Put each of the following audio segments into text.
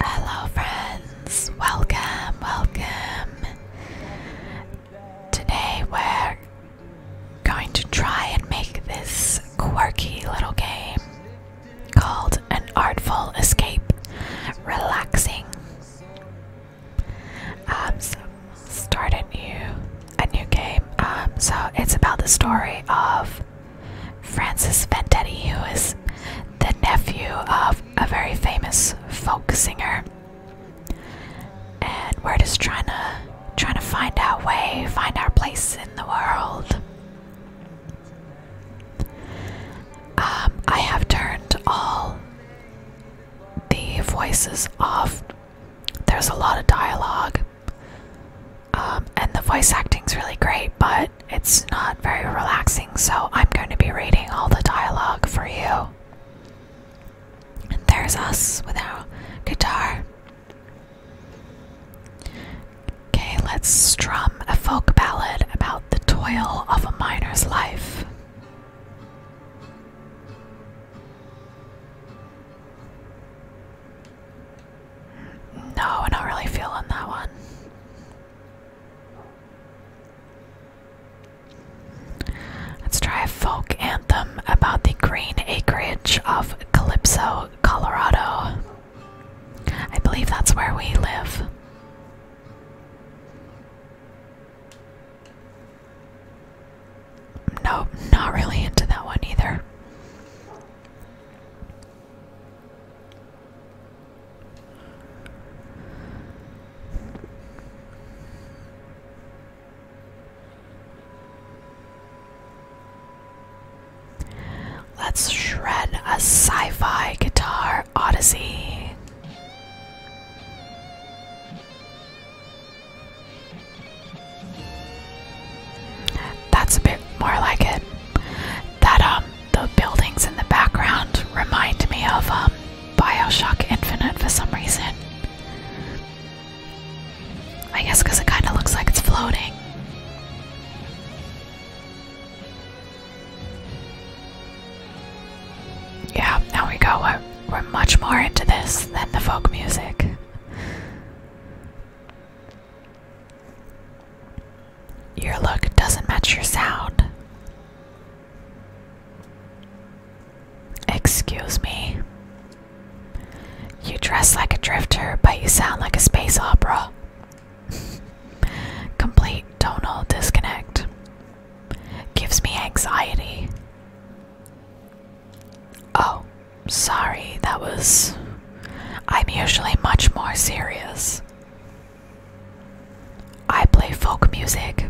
Hello, friends! Welcome, welcome! Today we're going to try and make this quirky little game called An Artful Escape Relaxing. Um, so start a new, a new game. Um, so it's about the story of Francis Vendetti, who is the nephew of a very famous folk singer. And we're just trying to trying to find our way, find our place in the world. Um, I have turned all the voices off. There's a lot of dialogue, um, and the voice acting's really great, but it's not very relaxing, so I'm going to be reading all the dialogue for you. And there's us without guitar. Okay, let's strum a folk ballad about the toil of a miner's life. No, I'm not really feeling that one. Let's try a folk anthem about the green acreage of Calypso, Colorado. I believe that's where we live. Nope, not really into that one either. Let's shred a sci fi guitar odyssey. That's a bit more like it. That, um, the buildings in the background remind me of um, Bioshock Infinite for some reason. I guess because it kind of looks like it's floating. Yeah, now we go. we're much more into this than the folk music. Your look doesn't match your sound. Excuse me. You dress like a drifter, but you sound like a space opera. Complete tonal disconnect. Gives me anxiety. Oh, sorry, that was. I'm usually much more serious. I play folk music.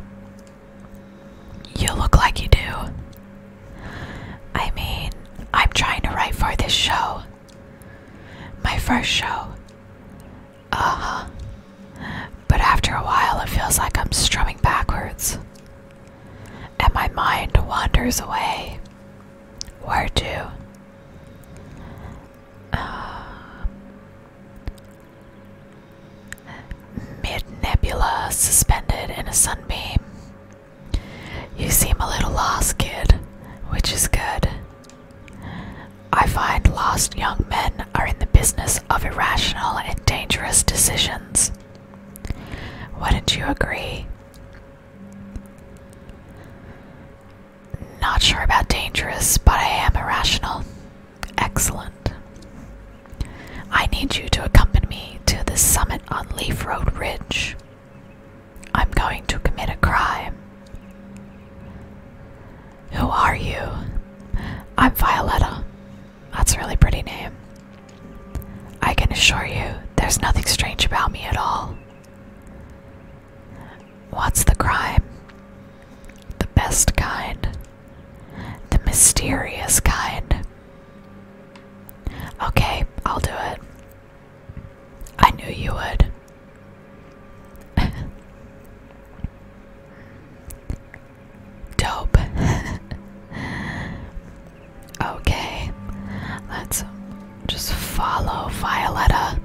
You look like you do. I mean, I'm trying to write for this show. My first show. Uh huh. But after a while, it feels like I'm strumming backwards. And my mind wanders away. Where to? Um, mid nebula suspended in a sunbeam. You seem a little lost, kid, which is good. I find lost young men are in the business of irrational and dangerous decisions. Wouldn't you agree? Not sure about dangerous, but I am irrational. Excellent. I need you to accompany me to the summit on Leaf Road Ridge. I'm going to commit a crime. Who are you? I'm Violetta. That's a really pretty name. I can assure you, there's nothing strange about me at all. What's the crime? The best kind. The mysterious kind. Okay, I'll do it. I knew you would. Dope. okay, let's just follow Violetta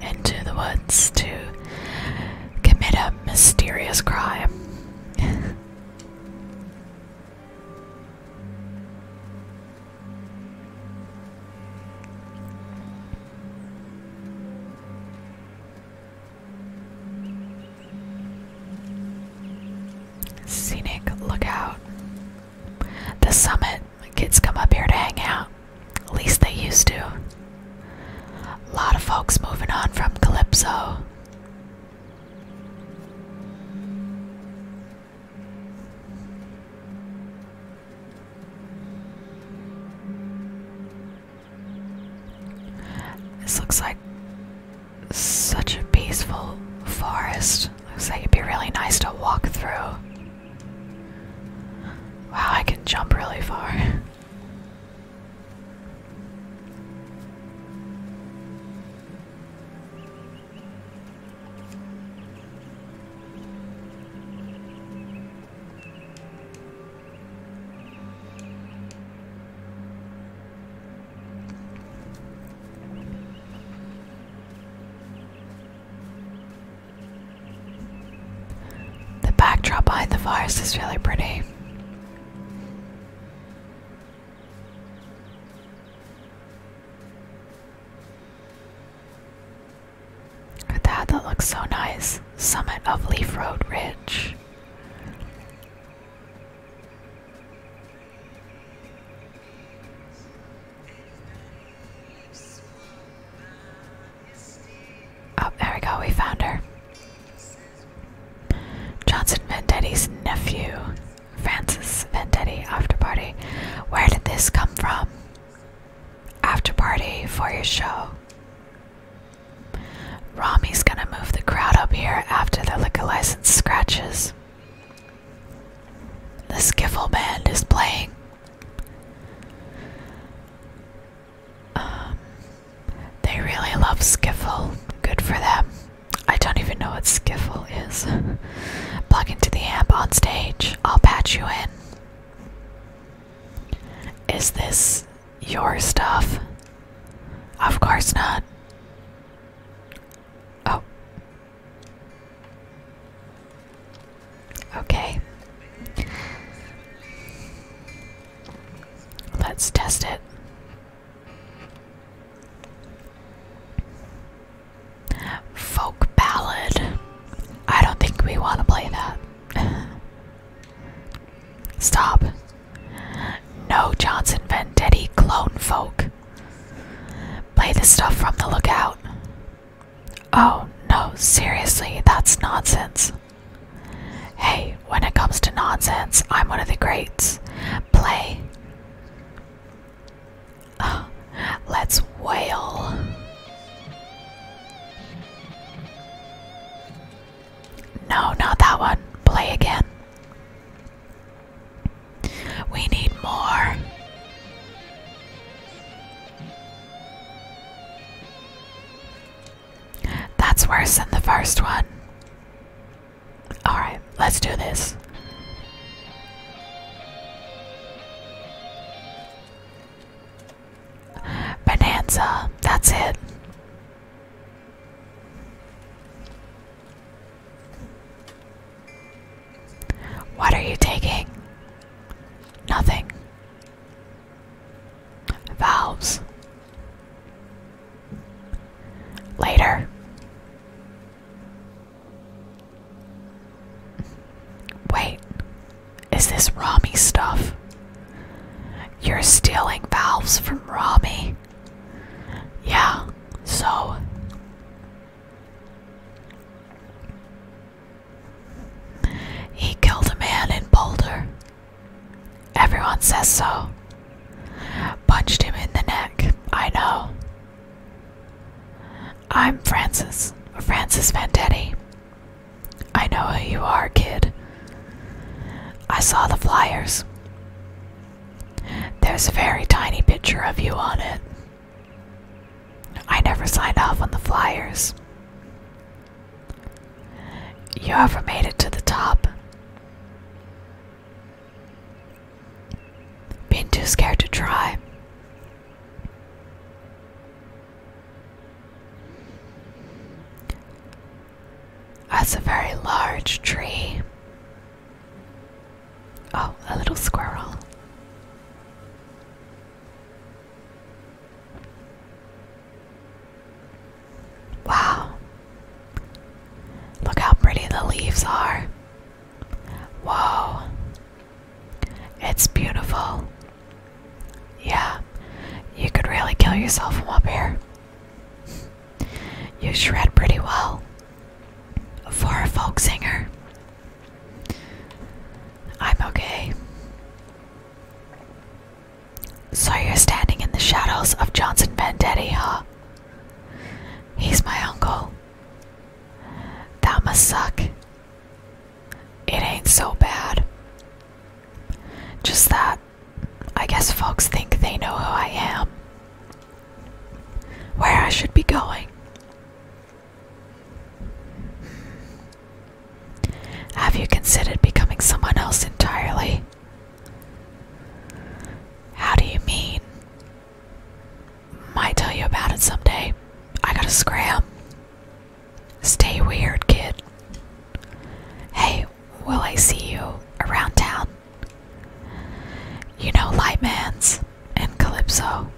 into the woods to commit a mysterious crime. Scenic lookout. The summit Kids come up here to hang out. At least they used to. A lot of folks moving on from Calypso. This looks like such a peaceful forest. Looks like it'd be really nice to walk through. Wow, I can jump really far. The backdrop behind the forest is really pretty. Look at that, that looks so nice. Summit of Leaf Road Ridge. Oh, there we go, we found her. Johnson Vendetti's nephew, Francis Vendetti, after party. Where did this come from? After party for your show. Rami's gonna move the crowd up here after the liquor license scratches. The skiffle band is playing. Um, they really love skiffle. Good for them. I don't even know what skiffle is. Plug into the amp on stage. I'll patch you in. Is this your stuff? Of course not. Oh. Okay. Let's test it. Folk ballad. I don't think we want to play that. Stop. No Johnson Vendetti clone folk. Play the stuff from the lookout. Oh, no, seriously, that's nonsense. Hey, when it comes to nonsense, I'm one of the greats. Play. let's wail. No, not that one. Play again. We need more. That's worse than the first one. Alright, let's do this. Bonanza, that's it. What are you taking? Nothing. Valves. Later. Wait, is this Rami stuff? You're stealing valves from Rami. Yeah, so. He killed a man in Boulder. Everyone says so. Punched him in the neck, I know. I'm Francis, Francis Vendetti. I know who you are, kid. I saw the flyers. There's a very tiny picture of you on it. I never signed off on the flyers. You ever made it to the top? Been too scared to try. That's a very large tree. Oh, a little squirrel. Wow. Look how pretty the leaves are. Whoa. It's beautiful. Yeah, you could really kill yourself from up here. You shred pretty well for a folk singer. I'm okay. So you're standing in the shadows of Johnson Vendetti, huh? He's my uncle. That must suck. It ain't so bad. Just that, I guess folks think they know who I am. Where I should be going. Have you considered becoming someone else entirely? How do you mean? Might tell you about it someday. I gotta scram. Stay weird, kid. Hey, will I see you around town? You know Lightman's and Calypso.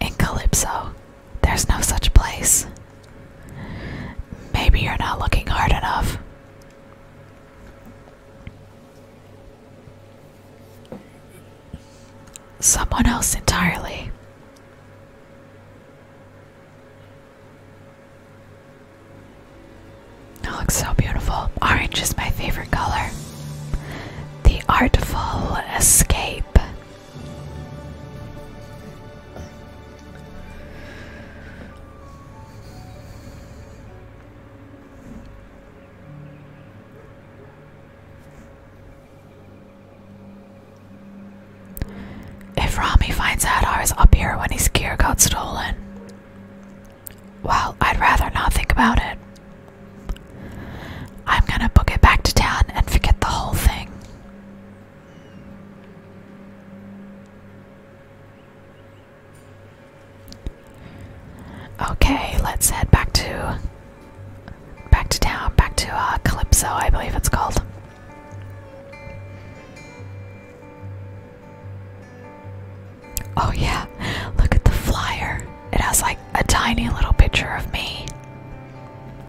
In Calypso, there's no such place. Maybe you're not looking hard enough. Someone else entirely. It looks so beautiful. Orange is my favorite color. The artful escape if Rami finds out I was up here when his gear got stolen, well, I'd rather not think about it. I'm gonna book it back to town and forget the whole thing. Okay, let's head back to back to town, back to uh, Calypso, I believe it's called. Oh yeah, look at the flyer. It has like a tiny little picture of me.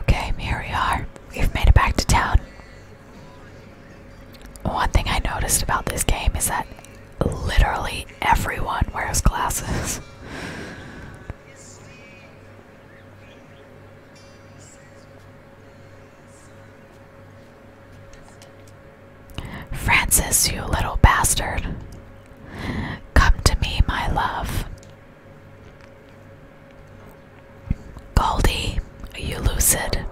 Okay, here we are. We've made it back to town. One thing I noticed about this game is that literally everyone wears glasses. Francis, you little bastard. Come to me, my love. Goldie, are you lucid?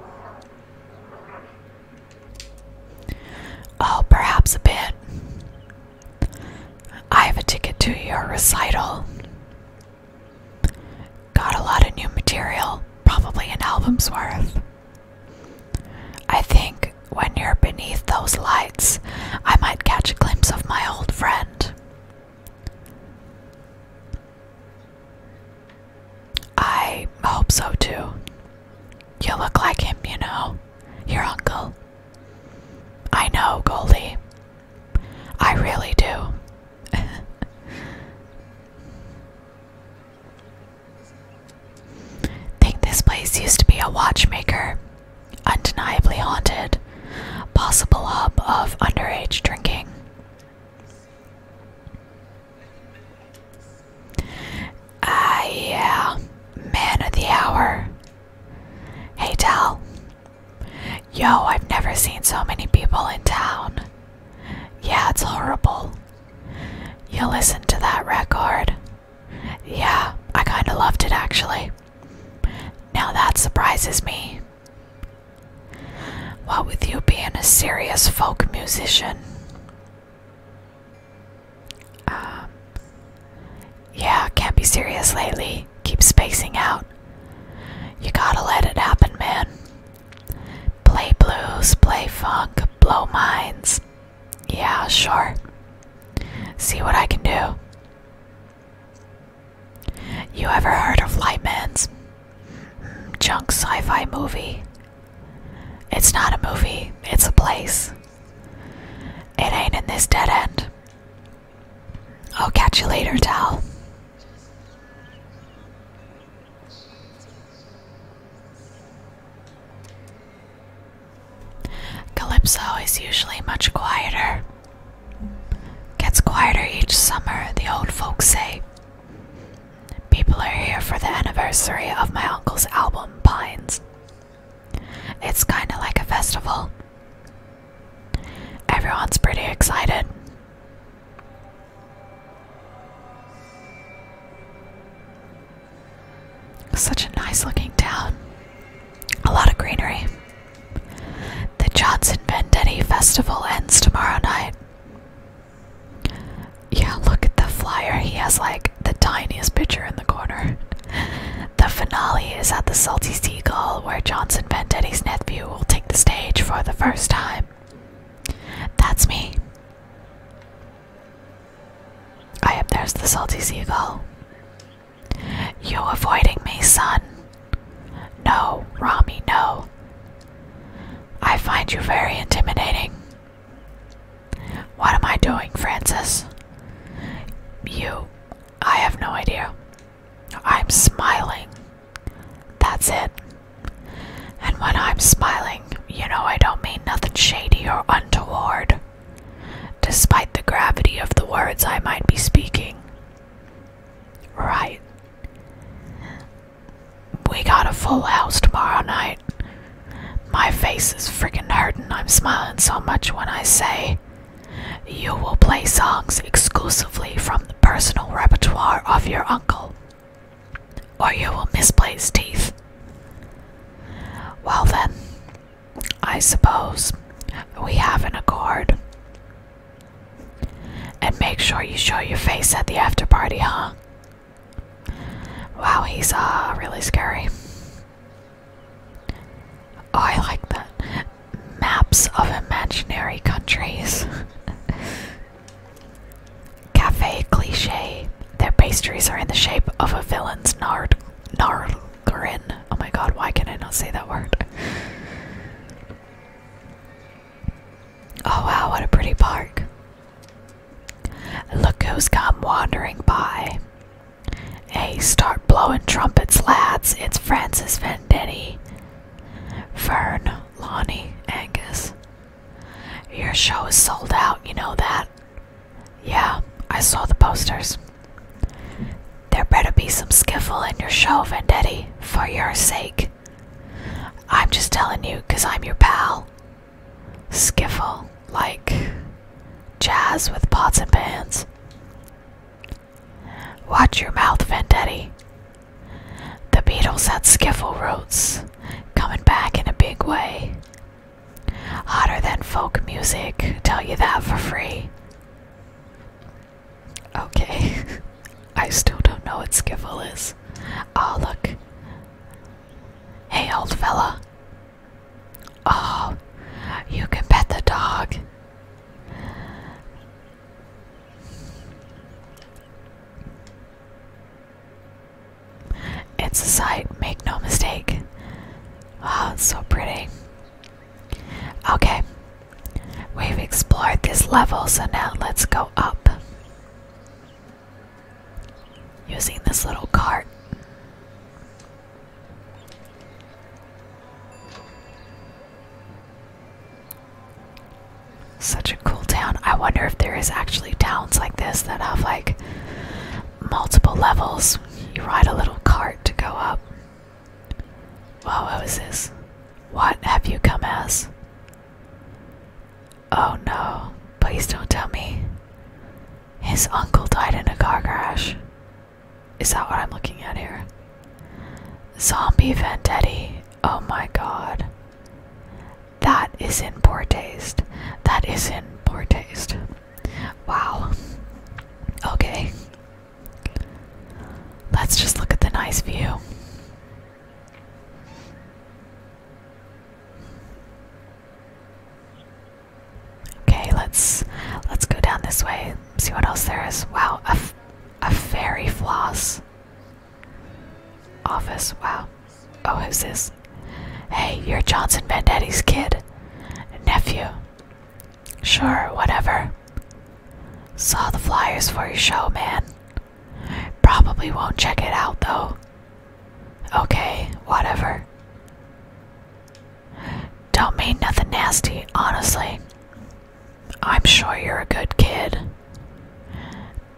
Oh, perhaps a bit. I have a ticket to your recital. Got a lot of new material, probably an album's worth. I think when you're beneath those lights, I might catch a glimpse of my old friend. I hope so too. You look like him, you know, your uncle. I know, Goldie. I really do. Think this place used to be a watchmaker, undeniably haunted, possible hub of underage drinking. Ah, yeah. Man of the hour. Hey, Tal. Yo, I've never seen so many people in town. Yeah, it's horrible. You listened to that record. Yeah, I kinda loved it actually. Now that surprises me. What with you being a serious folk musician, um, yeah, can't be serious lately. Keep spacing out. You gotta let it happen, man. Play blues, play funk, blow minds. Yeah, sure. See what I can do. You ever heard of Lightman's? Junk sci fi movie. It's not a movie, it's a place. It ain't in this dead end. I'll catch you later, Tal. Calypso is usually much quieter. Gets quieter each summer, the old folks say. People are here for the anniversary of my uncle's album, Pines. It's kind of like a festival. Everyone's pretty excited. Such a nice looking town. A lot of greenery. The Johnson Vendetti Festival ends tomorrow night. Yeah, look at the flyer. He has like the tiniest picture in the corner. The finale is at the Salty Seagull, where Johnson Vendetti's nephew will take the stage for the first time. That's me. I am there's the Salty Seagull. You avoiding me, son? No, Rami, no. I find you very intimidating. What am I doing, Francis? You. I have no idea. I'm smiling. That's it. And when I'm smiling, you know I don't mean nothing shady or untoward, despite the gravity of the words I might be speaking. Right. We got a full house tomorrow night. My face is freaking hurting. I'm smiling so much when I say, You will play songs exclusively from the personal repertoire of your uncle, or you will misplace teeth. Well, then, I suppose we have an accord. And make sure you show your face at the after party, huh? Wow, he's uh, really scary. Oh, I like that. Maps of imaginary countries. Cafe cliche. Their pastries are in the shape of a villain's nard grin. Oh my god, why can I not say that word? Oh wow, what a pretty park. Look who's come wandering by. Hey, start blowing trumpets, lads. It's Francis Vendetti. Vern, Lonny, Angus. Your show is sold out, you know that? Yeah, I saw the posters. There better be some skiffle in your show, Vendetti, for your sake. I'm just telling you, because I'm your pal. Skiffle like jazz with pots and pans. Watch your mouth, Vendetti. The Beatles had skiffle roots, coming back in a big way. Hotter than folk music, tell you that for free. Okay, I still don't know what skiffle is. oh, look. Hey, old fella, Oh, you can pet the dog. It's a sight, make no mistake. Oh, it's so pretty. Okay, we've explored this level, so now let's go up using this little cart. Such a cool town. I wonder if there is actually towns like this that have like multiple levels. You ride a little cart to go up. Whoa, what was this? What have you come as? Oh no, please don't tell me. His uncle died in a car crash. Is that what I'm looking at here? Zombie vendetta! Oh my god. That is in poor taste. That is in poor taste. Wow. Okay. Let's just look at the nice view. Okay, let's let's go down this way. See what else there is. Wow, a, a fairy floss office. Wow. Oh, who's this? Hey, you're Johnson Bandetti's kid, nephew. Sure, whatever. Saw the flyers for your show, man. Probably won't check it out though. Okay, whatever. Don't mean nothing nasty, honestly. I'm sure you're a good kid.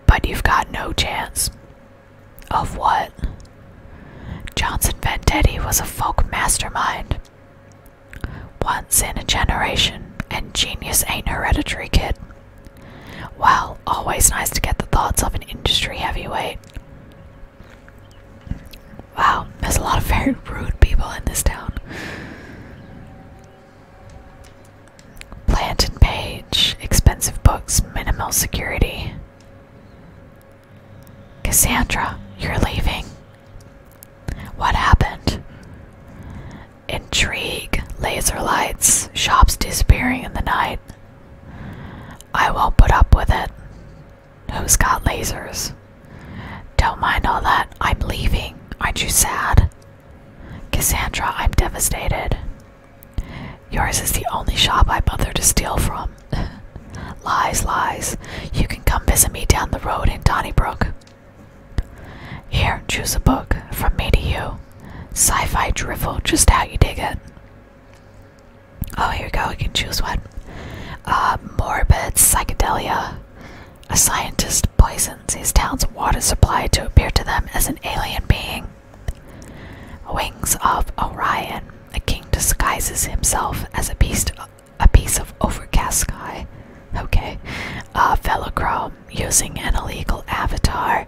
But you've got no chance. Of what? Johnson Vendetti was a folk mastermind. Once in a generation, and genius ain't hereditary, kid. Well, always nice to get the thoughts of an industry heavyweight. Wow, there's a lot of very rude people in this town. Planted page, expensive books, minimal security. Cassandra, you're leaving. What happened? Intrigue, laser lights, shops disappearing in the night. I won't put up with it. Who's got lasers? Don't mind all that. I'm leaving. Aren't you sad? Cassandra, I'm devastated. Yours is the only shop I bother to steal from. lies, lies. You can come visit me down the road in Donnybrook. Here, choose a book. From me to you. Sci fi drivel, just how you dig it. Oh, here we go. We can choose one. Uh, morbid psychedelia. A scientist poisons his town's water supply to appear to them as an alien being. Wings of Orion. A king disguises himself as a beast, a piece of overcast sky. Okay. A Velochrome. Using an illegal avatar,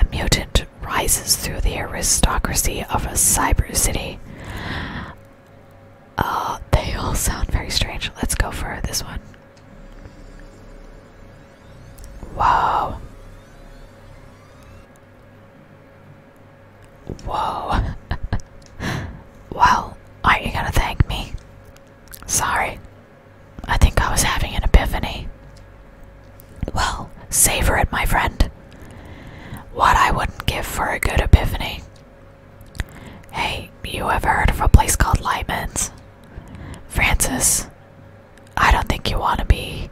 a mutant rises through the aristocracy of a cyber city. Uh, they all sound very strange. Let's go for this one. Wow. Whoa. well, aren't you gonna thank me? Sorry. I think I was having an epiphany. Well, savor it, my friend. What I wouldn't give for a good epiphany. Hey, you ever heard of a place called Lyman's? Francis, I don't think you want to be.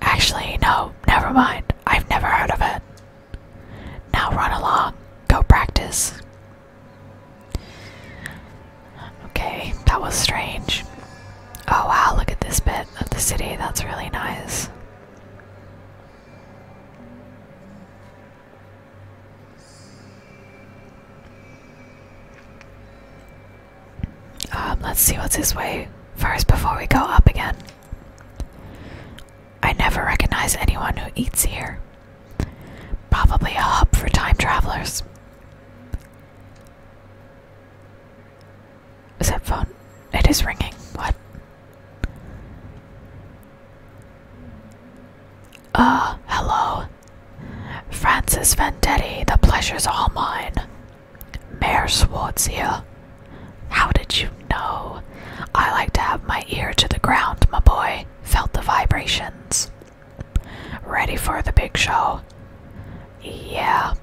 Actually, no, never mind. I've never heard of it. Now run along, go practice. Okay, that was strange. Oh wow, look at this bit of the city, that's really nice. Um, let's see what's this way first before we go up again. I never recognize anyone who eats here. Probably a hub for time travelers. Is that phone? It is ringing. What? Ah, hello. Francis Vendetti, the pleasure's all mine. Mayor Swartz here. How did you know? I like to have my ear to the ground, my boy. Felt the vibrations. Ready for the big show? Yeah,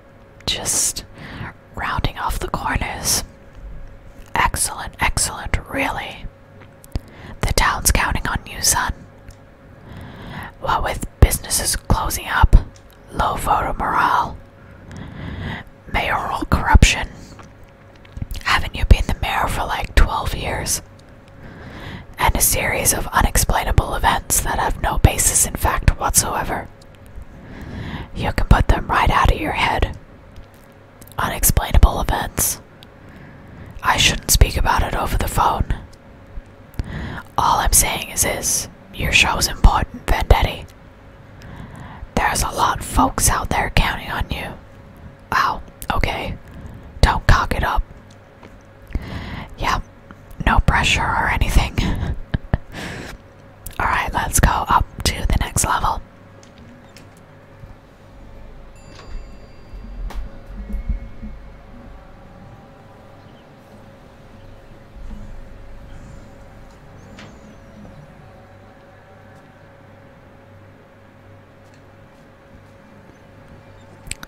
just rounding off the corners. Excellent, excellent, really. The town's counting on you, son. What with businesses closing up, low voter morale, mayoral corruption. Haven't you been the mayor for like 12 years? And a series of unexplainable events that have no basis in fact whatsoever. You can put them right out of your head. Unexplainable events. I shouldn't speak about it over the phone. All I'm saying is this your show's important, Vendetti. There's a lot of folks out there counting on you. Wow, okay. Don't cock it up. Yeah, no pressure or anything. Alright, let's go up to the next level.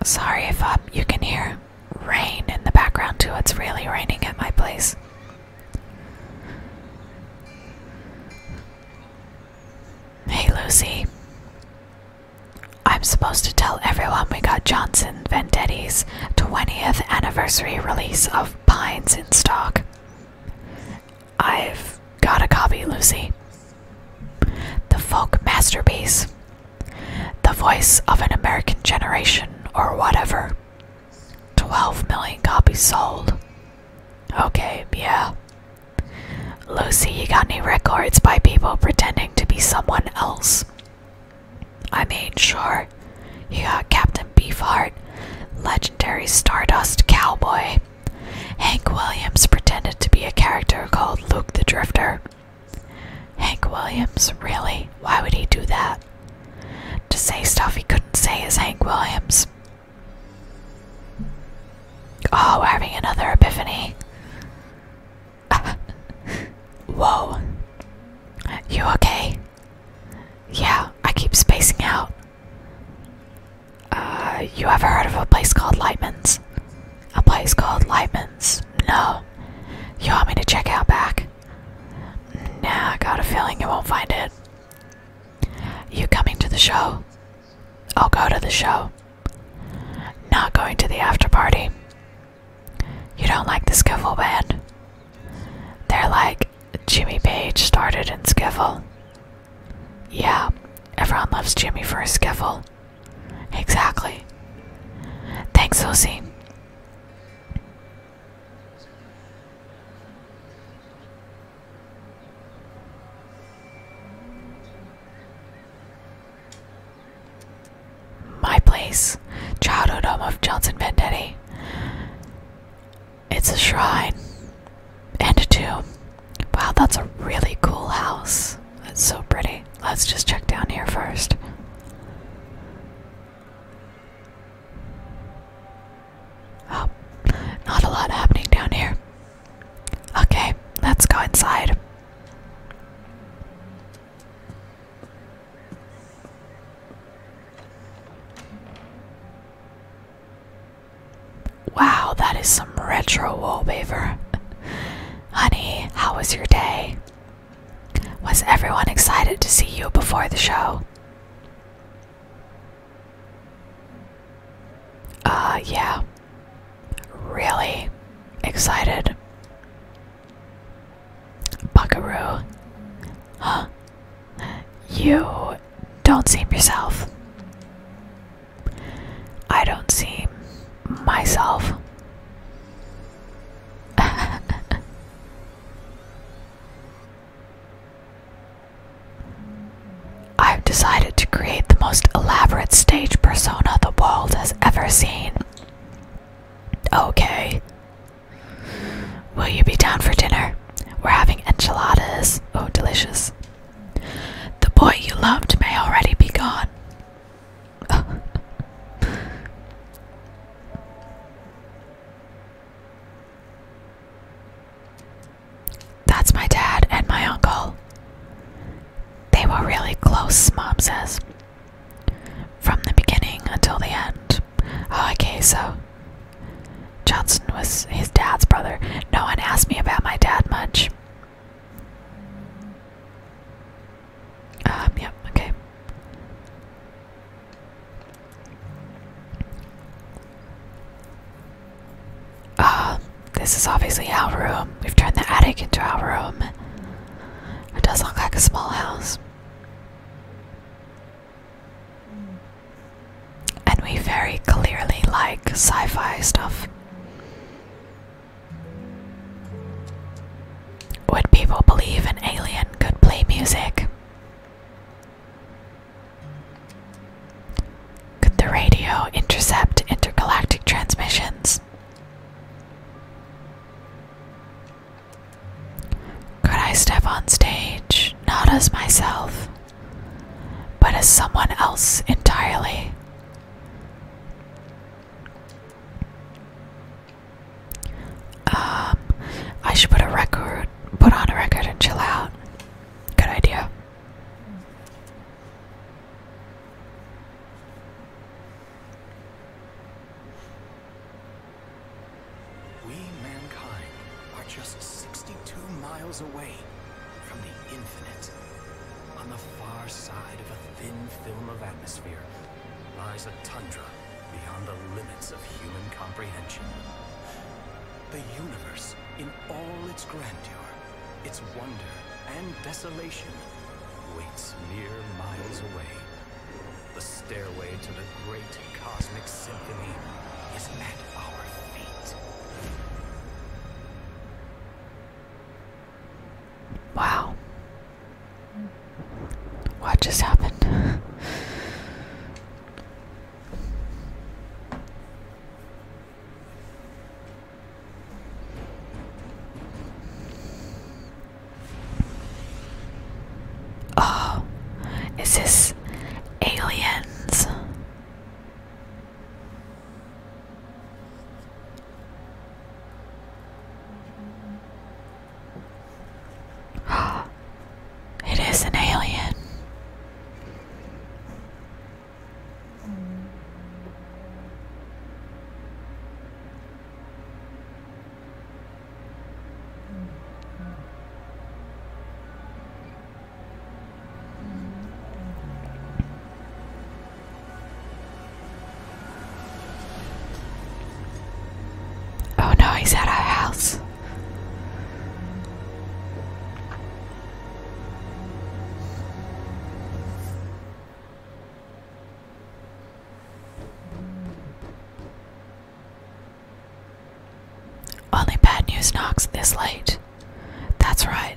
Sorry if uh, you can hear rain in the background, too. It's really raining at my place. Hey, Lucy. I'm supposed to tell everyone we got Johnson Vendetti's 20th anniversary release of Pines in stock. I've got a copy, Lucy. The folk masterpiece. The voice of an American generation, or whatever. 12 million copies sold. Okay, yeah. Lucy, you got any records by people pretending to be someone else? I mean, sure. You got Captain Beefheart, legendary Stardust Cowboy. Hank Williams pretended to be a character called Luke the Drifter. Hank Williams, really? Why would he do that? to say stuff he couldn't say is Hank Williams. Oh, we're having another epiphany. Whoa. You okay? Yeah, I keep spacing out. Uh, you ever heard of a place called Lightman's? A place called Lightman's? No. You want me to check out back? Nah, I got a feeling you won't find it. You coming to the show? I'll go to the show. Not going to the after party. You don't like the skiffle band? They're like Jimmy Page started in skiffle. Yeah, everyone loves Jimmy for his skiffle. Exactly. Thanks, Lucy. My place, childhood home of Johnson Vendetti. It's a shrine and a tomb. Wow, that's a really cool house. It's so pretty. Let's just check down here first. Oh, not a lot happening down here. Okay, let's go inside. Wow, that is some retro wallpaper. Honey, how was your day? Was everyone excited to see you before the show? Uh, yeah. Really excited. Buckaroo. Huh? You don't see yourself. I don't see myself. I've decided to create the most elaborate stage persona the world has ever seen. Okay. Will you be down for dinner? We're having enchiladas. Oh, delicious. The boy you loved may already be gone. That's my dad and my uncle. They were really close, Mom says. From the beginning until the end. Oh, okay, so Johnson was his dad's brother. No one asked me about my dad much. Um, yep, okay. Ah, this is obviously our room. We've turned the attic into our room. It does look like a small house. And we very clearly like sci fi stuff. Would people believe an alien could play music? Could the radio intercept intergalactic transmissions? Could I step on stage not as myself, but as someone else entirely? Um, I should put a record put on a record and chill out. Good idea. We, mankind, are just 62 miles away from the infinite. On the far side of a thin film of atmosphere lies a tundra beyond the limits of human comprehension. The universe, in all its grandeur, its wonder and desolation, waits mere miles away. The stairway to the great cosmic symphony is at our feet. Wow. What just happened? Oh, is this aliens? it is an alien. Oh no, he's at our house. Only bad news knocks this late. That's right.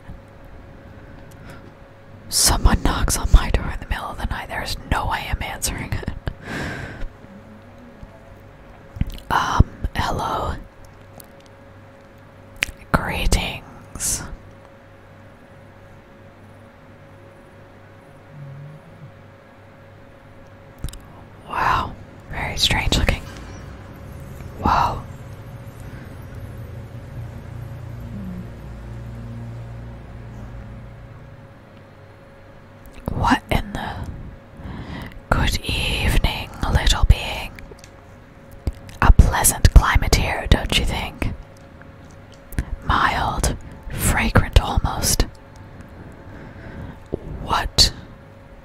Someone knocks on my door in the middle of the night. There's no way I'm answering it. um, hello. Greetings. Wow, very strange looking. Wow. What in the. Good evening, little being. A pleasant climate here, don't you think? Mild, fragrant almost. What?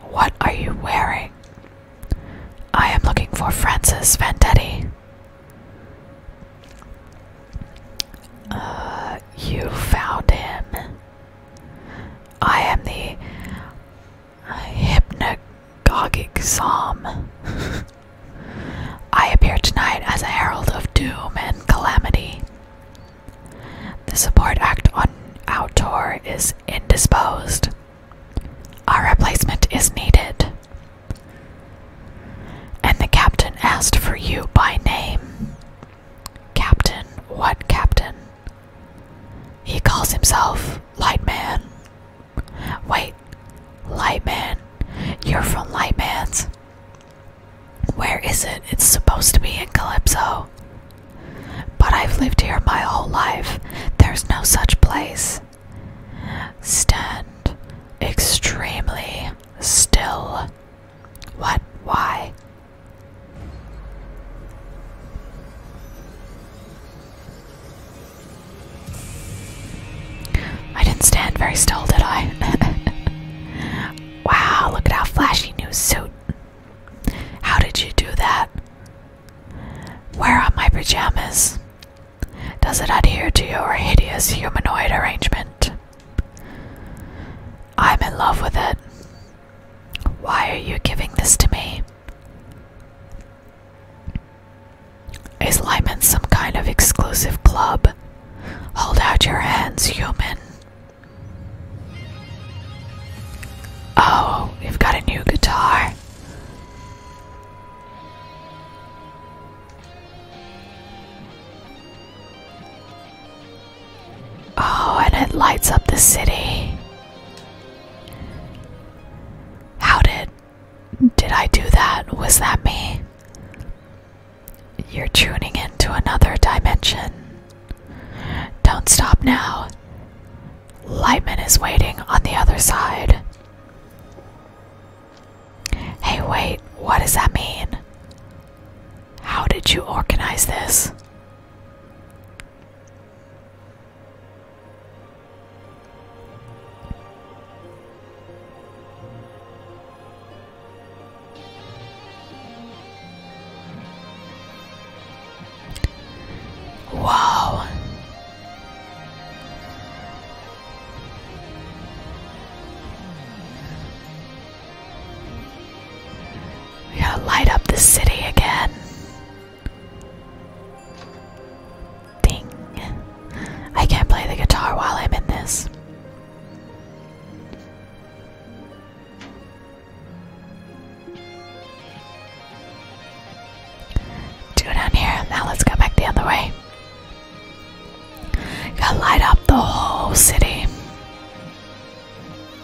What are you wearing? I am looking for Francis Vendetti. Uh, you found him. I am the hypnagogic psalm. I appear tonight as a herald of doom and calamity. The support act on Outor is indisposed. A replacement is needed. And the captain asked for you by name. Captain, what captain? He calls himself Lightman. Wait, Lightman, you're from Lightman's. Where is it? It's supposed to be in Calypso. But I've lived here my whole life. There's no such place. Stand extremely still. What? Why? I didn't stand very still, did I? wow, look at how flashy new suit. How did you do that? Where are my pajamas? Does it adhere to your hideous humanoid arrangement? I'm in love with it. Why are you giving this to me? Is Lyman some kind of exclusive club? Hold out your hands, human. Oh, you've got a new guitar. Oh, and it lights up the city. How did did I do that? Was that me? You're tuning into another dimension. Don't stop now. Lightman is waiting on the other side. Hey, wait, what does that mean? How did you organize this? Wow. We gotta light up the city again. Ding. I can't play the guitar while I'm in this. Two down here. Now let's go back the other way. Gotta light up the whole city.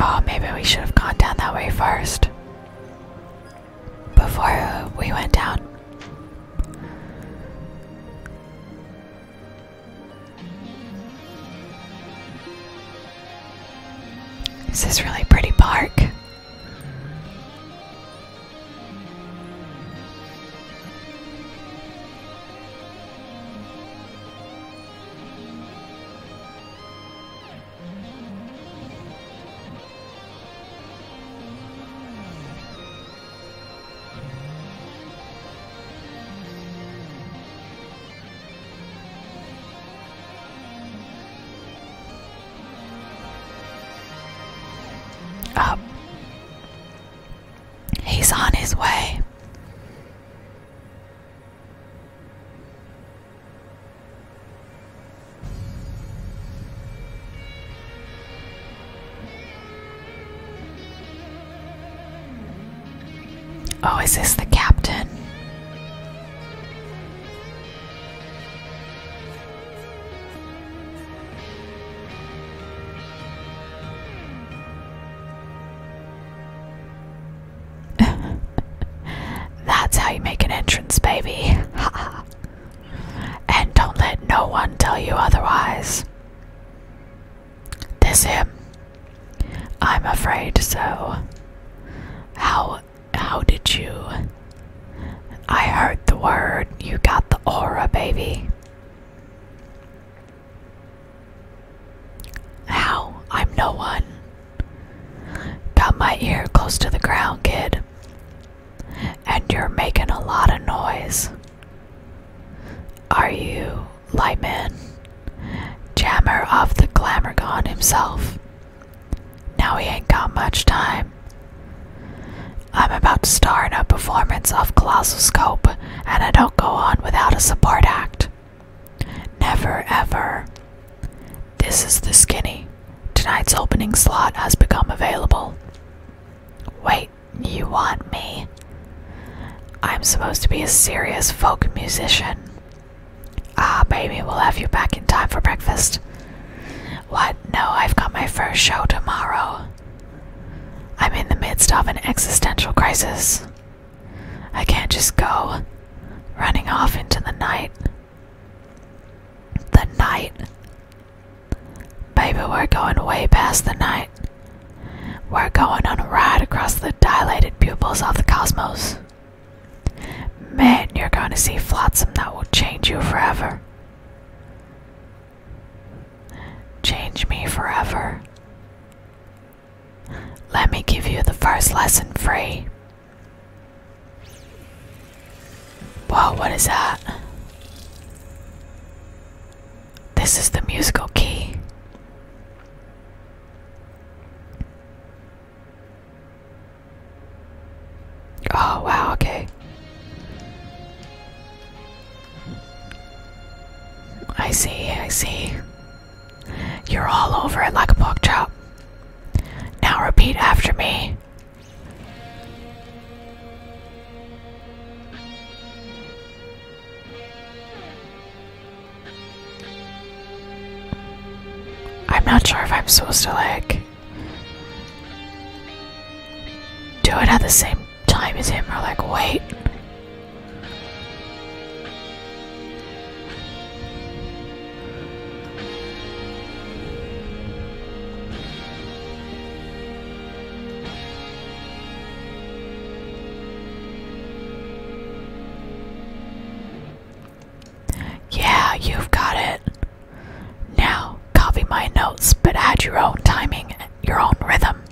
Oh, maybe we should have gone down that way first. Before we went down. This is really pretty park. Up. He's on his way. Oh, is this the captain? That's how you make an entrance, baby. and don't let no one tell you otherwise. This him? I'm afraid so. How how did you I heard the word you got the aura, baby. How? I'm no one. Got my ear close to the ground, kid. And you're making a lot of noise. Are you Lyman, Jammer of the Glamorgon himself. Now he ain't got much time. I'm about to start a performance of Colossal Scope, and I don't go on without a support act. Never ever. This is the skinny. Tonight's opening slot has become available. Wait, you want me? I'm supposed to be a serious folk musician. Ah, baby, we'll have you back in time for breakfast. What? No, I've got my first show tomorrow. I'm in the midst of an existential crisis. I can't just go running off into the night. The night? Baby, we're going way past the night. We're going on a ride across the dilated pupils of the cosmos. Man, you're going to see flotsam that will change you forever. Change me forever. Let me give you the first lesson free. Whoa, what is that? This is the musical key. Oh, wow, okay. I see, I see. You're all over it like a pork chop. Now repeat after me. I'm not sure if I'm supposed to like do it at the same time as him or like wait. Yeah, you've got it. Now, copy my notes, but add your own timing, your own rhythm.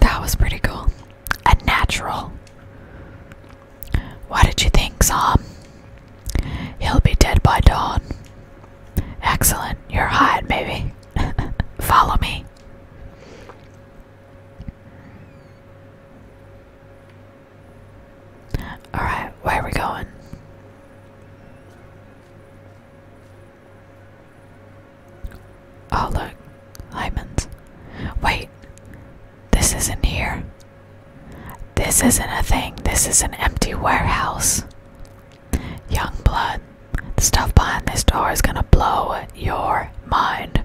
that was pretty cool. And natural. What did you think, Sam? He'll be dead by dawn. Excellent. You're hot, maybe. Follow me. Alright, where are we going? Oh, look. Lyman's. Wait. This isn't here. This isn't a thing. This is an empty warehouse. Young blood, the stuff behind this door is gonna blow your mind.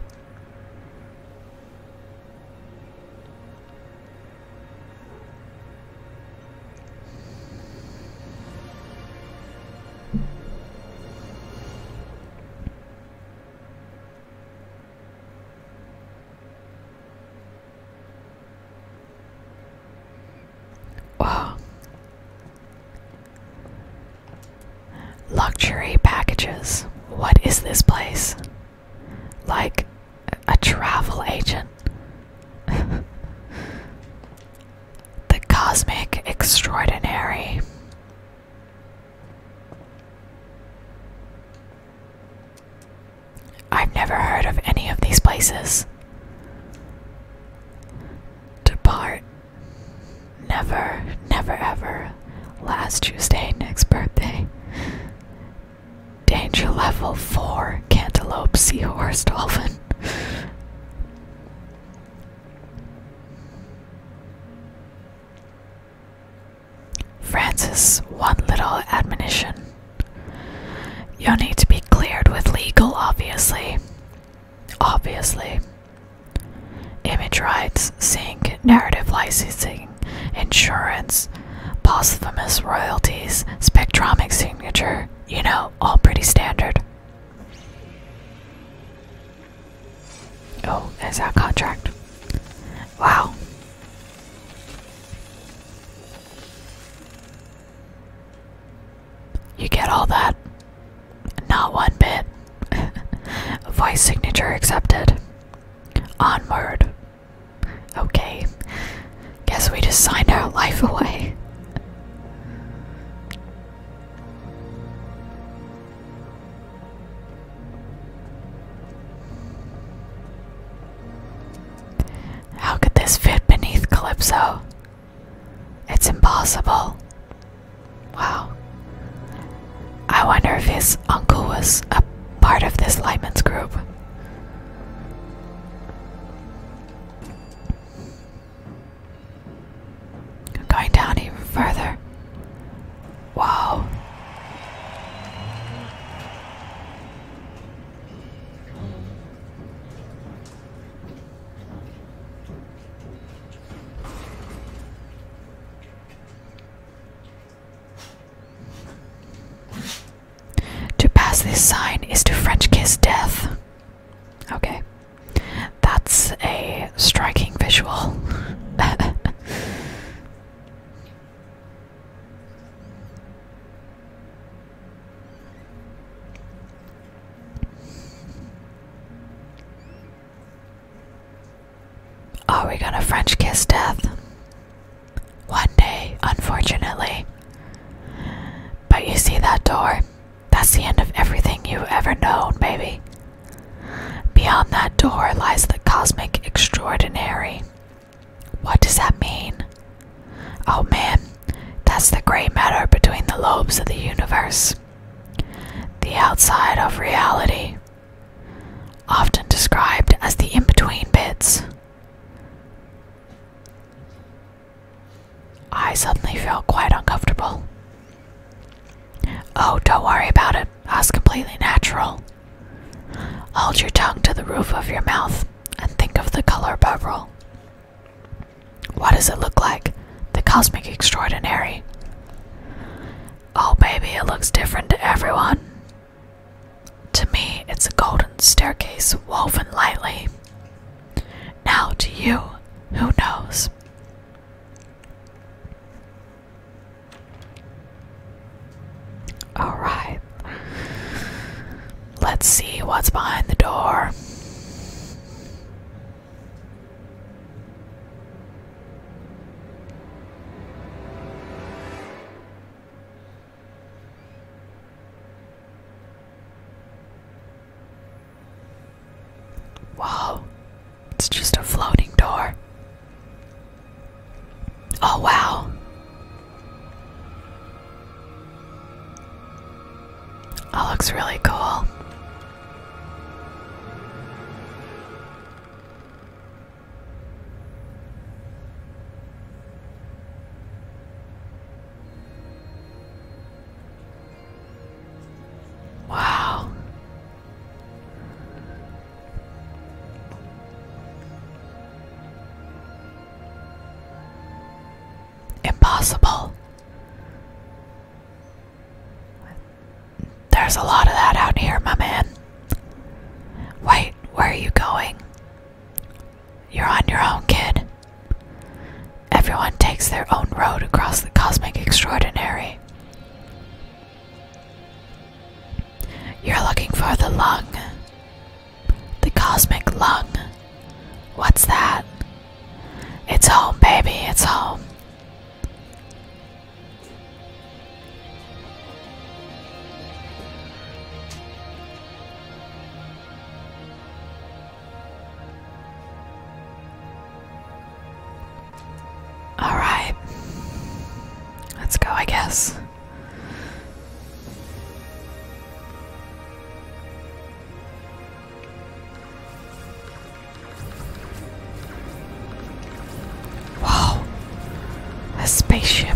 Wow. Luxury packages. What is this place? Like a travel agent. the Cosmic Extraordinary. I've never heard of any of these places. Depart. Never, never, ever. Last Tuesday, next birthday. Danger level 4 Cantaloupe Seahorse Dolphin. Francis, one little admonition. You'll need to be cleared with legal, obviously. Obviously. Image rights, sync, narrative licensing, insurance, posthumous royalties, spectromic signature, you know, all pretty standard. Oh, there's our contract? Wow. You get all that? Not one bit. Voice signature accepted. Onward. Okay. Guess we just signed our life away. How could this fit beneath Calypso? It's impossible. Wow. I wonder if his uncle was a part of this Lyman's group. Going down even further. Wow. To pass this sign is to French kiss death. Okay. That's a striking visual. Are we gonna French kiss death? One day, unfortunately. But you see that door? That's the end of everything you've ever known, baby. Beyond that door lies the cosmic extraordinary. What does that mean? Oh man, that's the gray matter between the lobes of the universe. The outside of reality, often described as the in between bits. I suddenly feel quite uncomfortable. Oh, don't worry about it. That's completely natural. Hold your tongue to the roof of your mouth and think of the color bubble. What does it look like? The cosmic extraordinary. Oh, baby, it looks different to everyone. To me, it's a golden staircase woven lightly. Now, to you, who knows? Alright. Let's see what's behind the door. Wow, it's just a floating door. Oh, wow. That looks really cool. Wow. Impossible. There's a lot of that out here, my man. Wait, where are you going? You're on your own, kid. Everyone takes their own road across the cosmic extraordinary. You're looking for the lung. The cosmic lung. What's that? It's home, baby, it's home. Alright. Let's go, I guess. Whoa! A spaceship.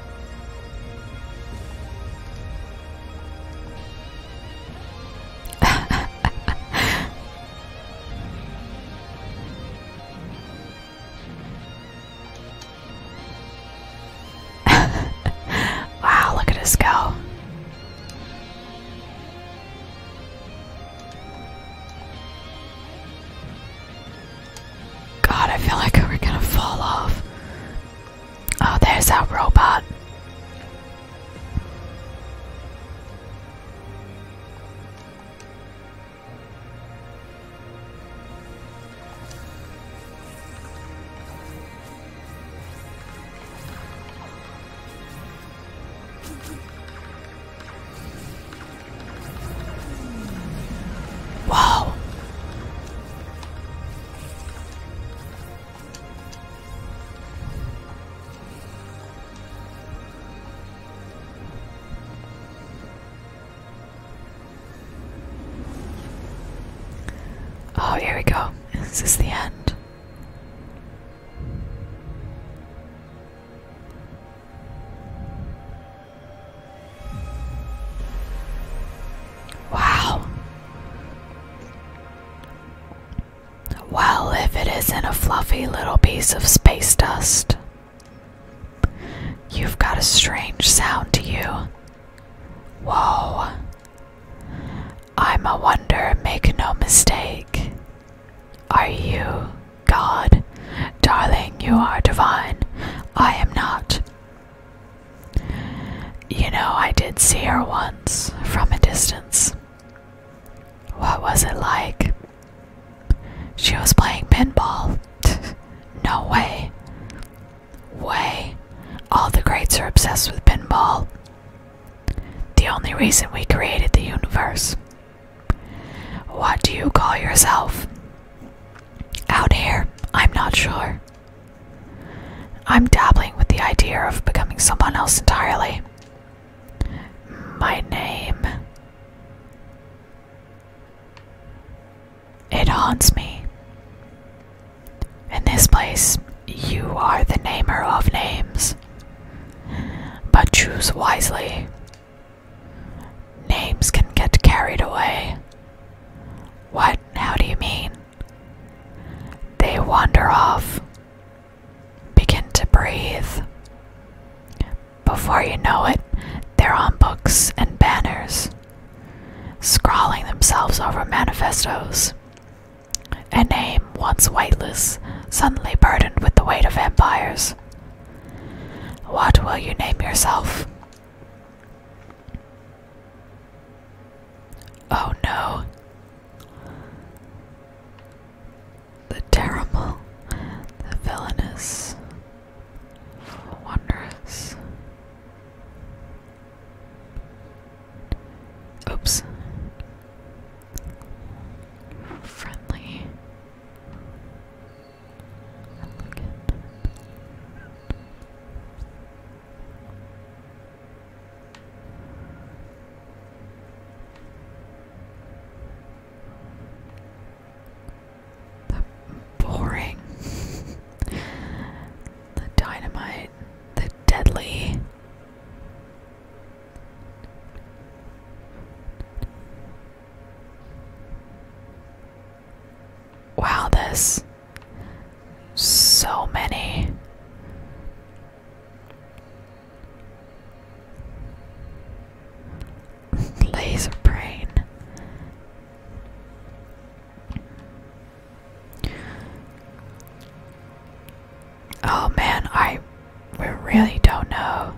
wow, look at us go. God, I feel like we're gonna fall off. Oh, there's our robot. Wow. Oh, here we go. This is the end. Wow. Well, if it isn't a fluffy little piece of space dust, you've got a strange sound to you. Whoa. I'm a wonder, make no mistake. Are you God? Darling, you are divine. I am not. You know, I did see her once from a distance. What was it like? She was playing pinball. no way. Way. All the greats are obsessed with pinball. The only reason we created the universe. What do you call yourself? Out here, I'm not sure. I'm dabbling with the idea of becoming someone else entirely. My name. It haunts me. In this place, you are the namer of names. But choose wisely. Names can get carried away. What? How do you mean? They wander off. Begin to breathe. Before you know it, they're on books and banners, scrawling themselves over manifestos. A name once weightless, suddenly burdened with the weight of empires. What will you name yourself? Oh no. The terrible, the villainous, wondrous. Oops. Friendly. The boring, the dynamite, the deadly. Wow, this so many. Laser brain. Oh man, I we really don't know.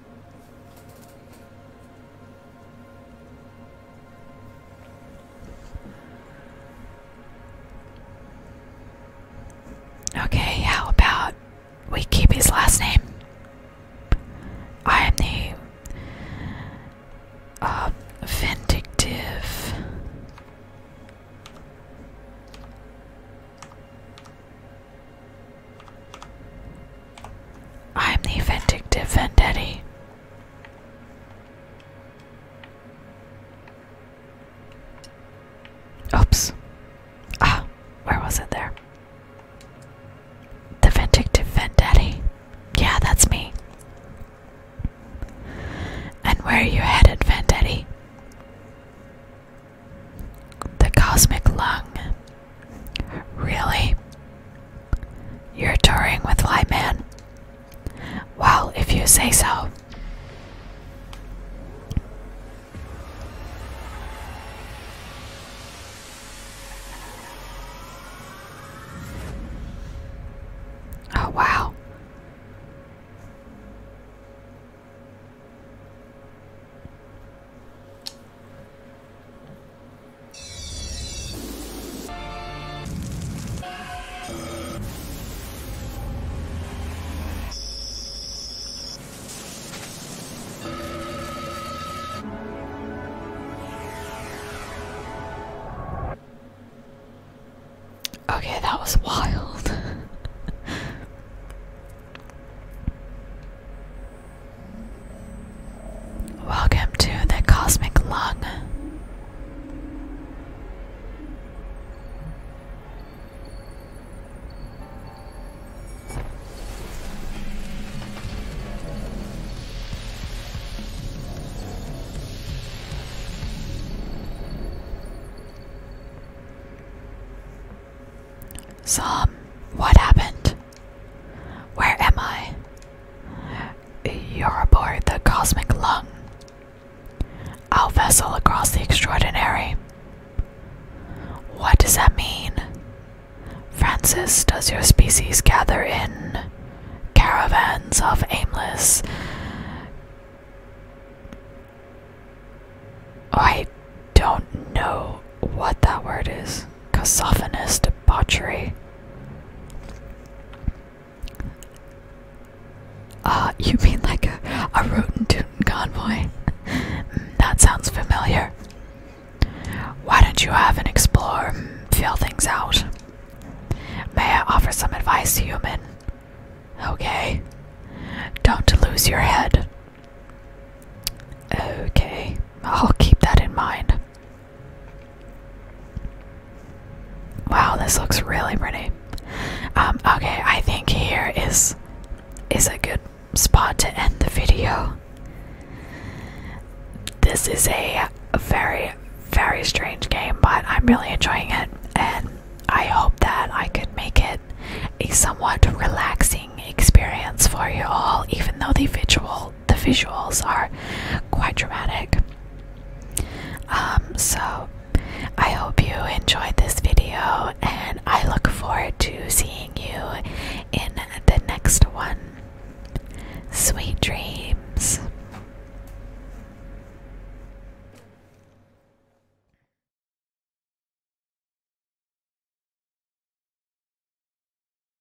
Okay, how about we keep his last name? I am the uh, vindictive. I'm the vindictive Vendetti. Oops. Ah, where was it there? The Vindictive Vendetti. Yeah, that's me. And where are you headed, Vendetti? The Cosmic Lung. Really? You're touring with Lightman? Well, if you say so. Oh, wow. Okay, that was wild. Welcome to the cosmic lung. Sam, what happened? Where am I? You're aboard the Cosmic Lung. Our vessel across the extraordinary. What does that mean? Francis, does your species gather in caravans of aimless. I don't know what that word is. Casophanous debauchery. Ah, you mean like a, a Rotentootin convoy? that sounds familiar. Why don't you have an explore, feel things out? May I offer some advice, human? Okay. Don't lose your head. Okay, I'll keep that in mind. Wow, this looks really pretty. Um, okay, I think here is is a good spot to end the video. This is a very, very strange game, but I'm really enjoying it, and I hope that I could make it a somewhat relaxing experience for you all, even though the visuals the visuals are quite dramatic. Um, so I hope you enjoyed this video and I look forward to seeing you in the next one. Sweet dreams.